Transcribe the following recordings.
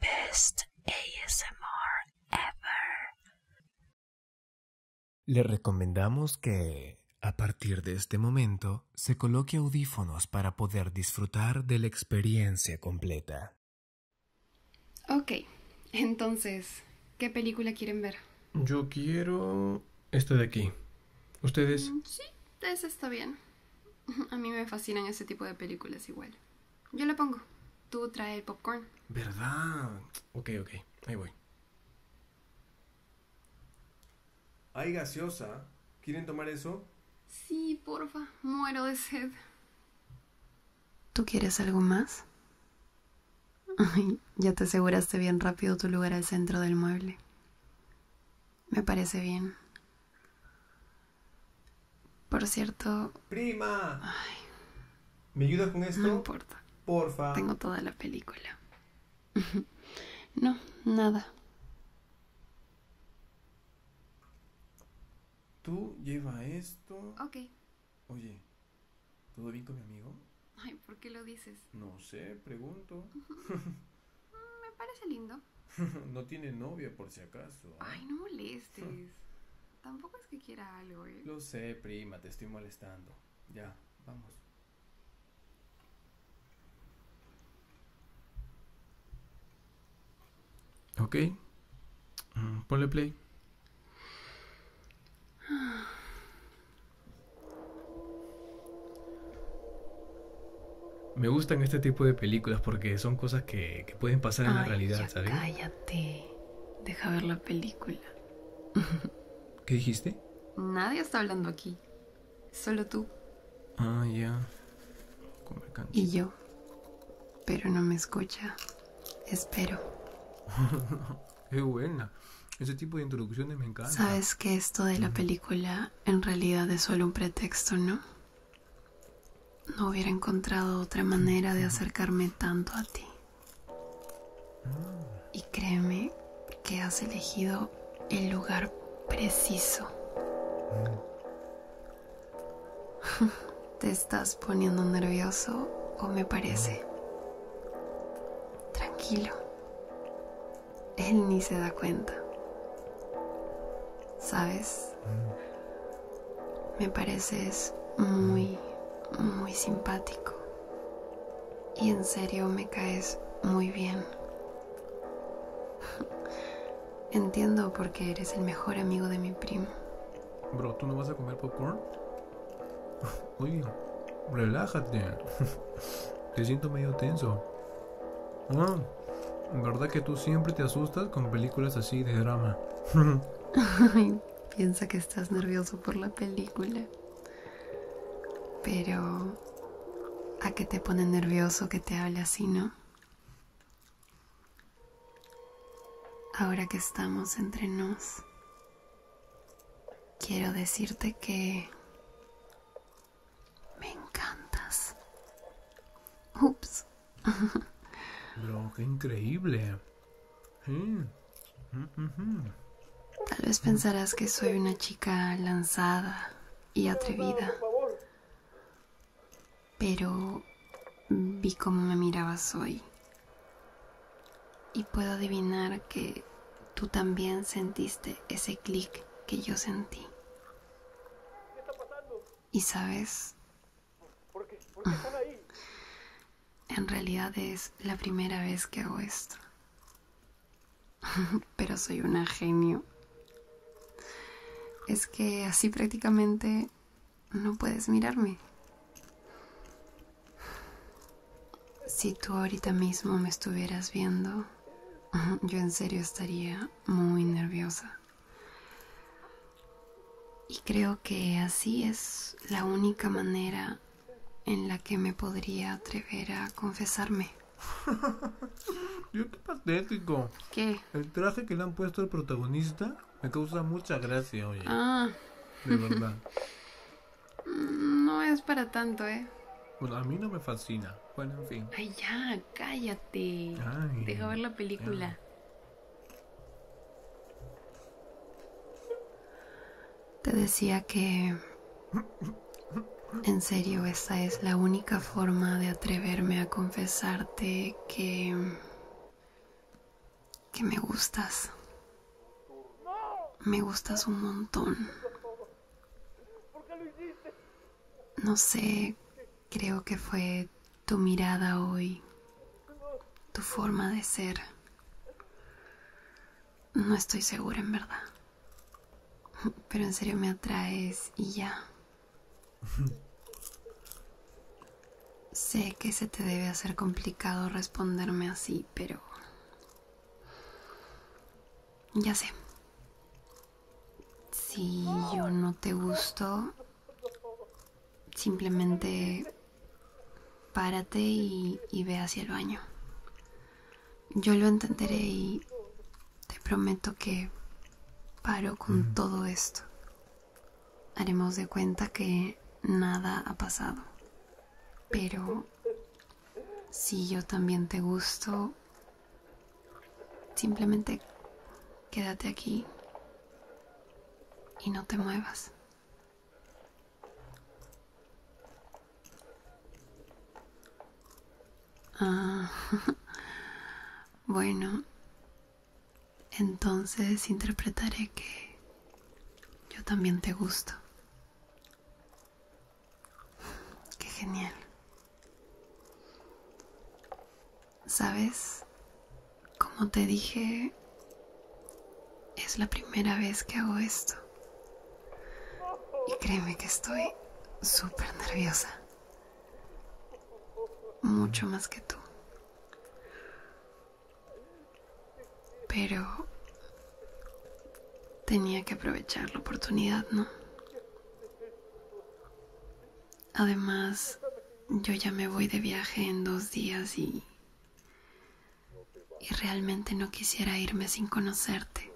Best ASMR ever. Le recomendamos que, a partir de este momento, se coloque audífonos para poder disfrutar de la experiencia completa. Ok, entonces, ¿qué película quieren ver? Yo quiero esta de aquí. ¿Ustedes? Mm, sí, esa está bien. A mí me fascinan ese tipo de películas igual. Yo le pongo. Tú trae el popcorn. ¿Verdad? Ok, ok. Ahí voy. Hay gaseosa. ¿Quieren tomar eso? Sí, porfa. Muero de sed. ¿Tú quieres algo más? Ay, ya te aseguraste bien rápido tu lugar al centro del mueble. Me parece bien. Por cierto. ¡Prima! ¿Me ayudas con esto? No importa. Porfa. Tengo toda la película. no, nada. Tú lleva esto. Ok. Oye, ¿todo bien con mi amigo? Ay, ¿por qué lo dices? No sé, pregunto. Mm, me parece lindo. ¿no? tiene novia, por si acaso. Ay, no molestes. Tampoco es que quiera algo, ¿eh? Lo sé, prima, te estoy molestando. Ya, vamos. Ok. ponle play. Me gustan este tipo de películas porque son cosas que, que pueden pasar en la realidad, ¿sabes? Cállate. Deja ver la película. ¿Qué dijiste? Nadie está hablando aquí. Solo tú. Ah, ya. Y yo. Pero no me escucha. Espero. Qué buena. Ese tipo de introducciones me encanta. Sabes que esto de la película en realidad es solo un pretexto, ¿no? No hubiera encontrado otra manera de acercarme tanto a ti. Y créeme que has elegido el lugar preciso. ¿Te estás poniendo nervioso o me parece? Tranquilo. Él ni se da cuenta. ¿sabes? Mm. Me pareces muy, muy simpático. Y en serio me caes muy bien. Entiendo por qué eres el mejor amigo de mi primo. Bro, ¿tú no vas a comer popcorn? Oye, relájate. Te siento medio tenso. no. ¿Verdad que tú siempre te asustas con películas así de drama? Ay, piensa que estás nervioso por la película. Pero... ¿A qué te pone nervioso que te hable así, no? Ahora que estamos entre nos, quiero decirte que... Me encantas. Ups increíble. Tal vez pensarás que soy una chica lanzada y atrevida. Pero vi cómo me mirabas hoy. Y puedo adivinar que tú también sentiste ese clic que yo sentí. Y sabes, En realidad es la primera vez que hago esto. Pero soy una genio. Es que así prácticamente no puedes mirarme. Si tú ahorita mismo me estuvieras viendo, yo en serio estaría muy nerviosa. Y creo que así es la única manera en la que me podría atrever a confesarme. Yo qué patético. ¿Qué? El traje que le han puesto al protagonista me causa mucha gracia, oye. Ah. De verdad. Mm, no es para tanto, ¿eh? Bueno, pues, a mí no me fascina. Bueno, en fin. Ay, ya, cállate. Deja ver la película. Te decía que en serio esa es la única forma de atreverme a confesarte que que me gustas. Me gustas un montón. No sé Creo que fue tu mirada hoy, tu forma de ser. No estoy segura en verdad. Pero en serio me atraes y ya. sé que se te debe hacer complicado responderme así, pero... Ya sé. Si yo no te gusto, Simplemente párate y, ve hacia el baño. Yo lo entenderé y te prometo que paro con todo esto. Haremos de cuenta que nada ha pasado. Pero si yo también te gusto, simplemente quédate aquí y no te muevas. Ah, bueno, entonces interpretaré que yo también te gusto. Qué genial. ¿Sabes? Como te dije, es la primera vez que hago esto. Y créeme que estoy súper nerviosa. Mucho más que tú. Pero tenía que aprovechar la oportunidad, ¿no? Además, yo ya me voy de viaje en dos días y... Y realmente no quisiera irme sin conocerte.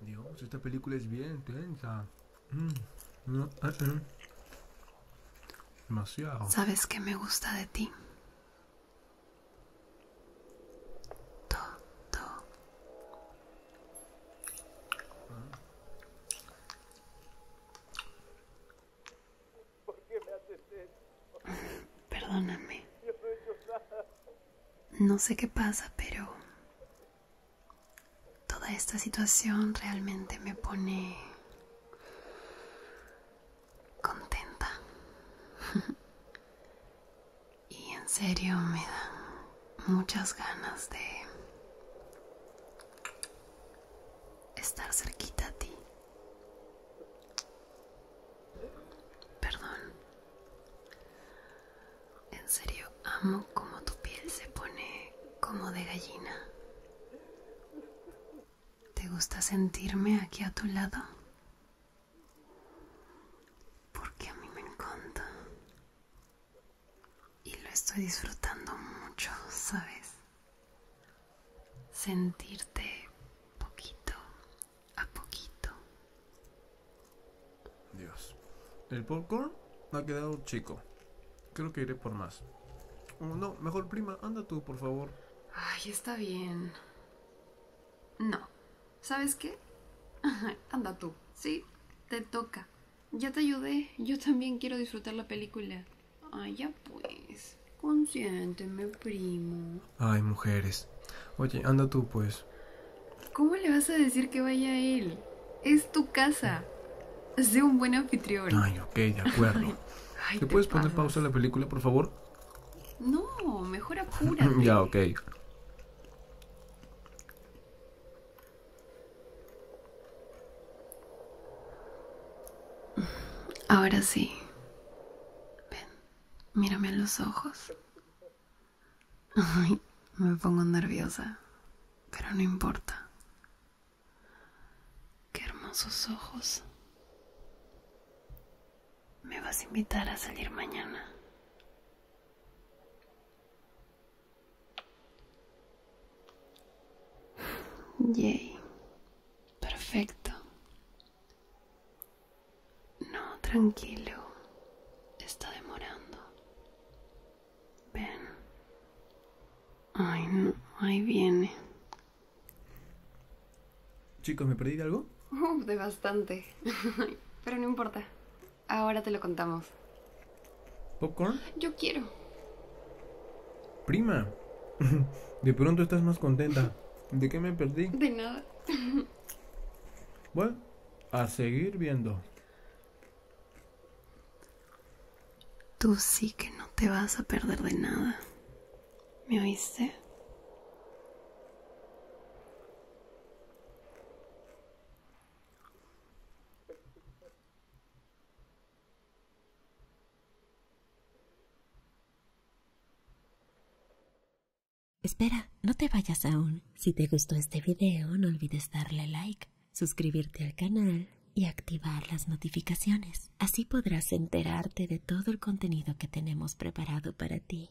Dios, esta película es bien tensa. Mm. Mm, eh, eh. Demasiado. ¿Sabes qué me gusta de ti? Todo. Perdóname. no, no sé qué pasa, pero toda esta situación realmente me pone contenta. y en serio me dan muchas ganas de estar cerquita a ti. Perdón. En serio, amo como tu piel se pone como de gallina. ¿Te gusta sentirme aquí a tu lado? Porque a mí me encanta y lo estoy disfrutando mucho, ¿sabes? Sentirte poquito a poquito. Dios. El popcorn me ha quedado chico. Creo que iré por más. Mm, no, mejor prima, anda tú, por favor. Ay, está bien. No. ¿Sabes qué? anda tú. Sí, te toca. Ya te ayudé, yo también quiero disfrutar la película. Ay, ah, ya pues. Consiénteme, primo. Ay, mujeres. Oye, anda tú, pues. ¿Cómo le vas a decir que vaya a él? Es tu casa. Sé un buen anfitrión. Ay, ok, de acuerdo. ¿Te, puedes poner pausa a la película, por favor? No, mejor apúrate. ya, ok. Ahora sí. Ven, mírame a los ojos. me pongo nerviosa, pero no importa. Qué hermosos ojos. Me vas a invitar a salir mañana. Yay. Perfecto. No, tranquilo. Está demorando. Ven. Ay, no. Ahí viene. Chicos, ¿me perdí algo? de bastante. Pero no importa. Ahora te lo contamos. ¿Popcorn? Yo quiero. Prima, de pronto estás más contenta. ¿De qué me perdí? De nada. Bueno, a seguir viendo. Tú sí que no te vas a perder de nada. ¿Me oíste? Espera, no te vayas aún. Si te gustó este video, no olvides darle like, suscribirte al canal y activar las notificaciones. Así podrás enterarte de todo el contenido que tenemos preparado para ti.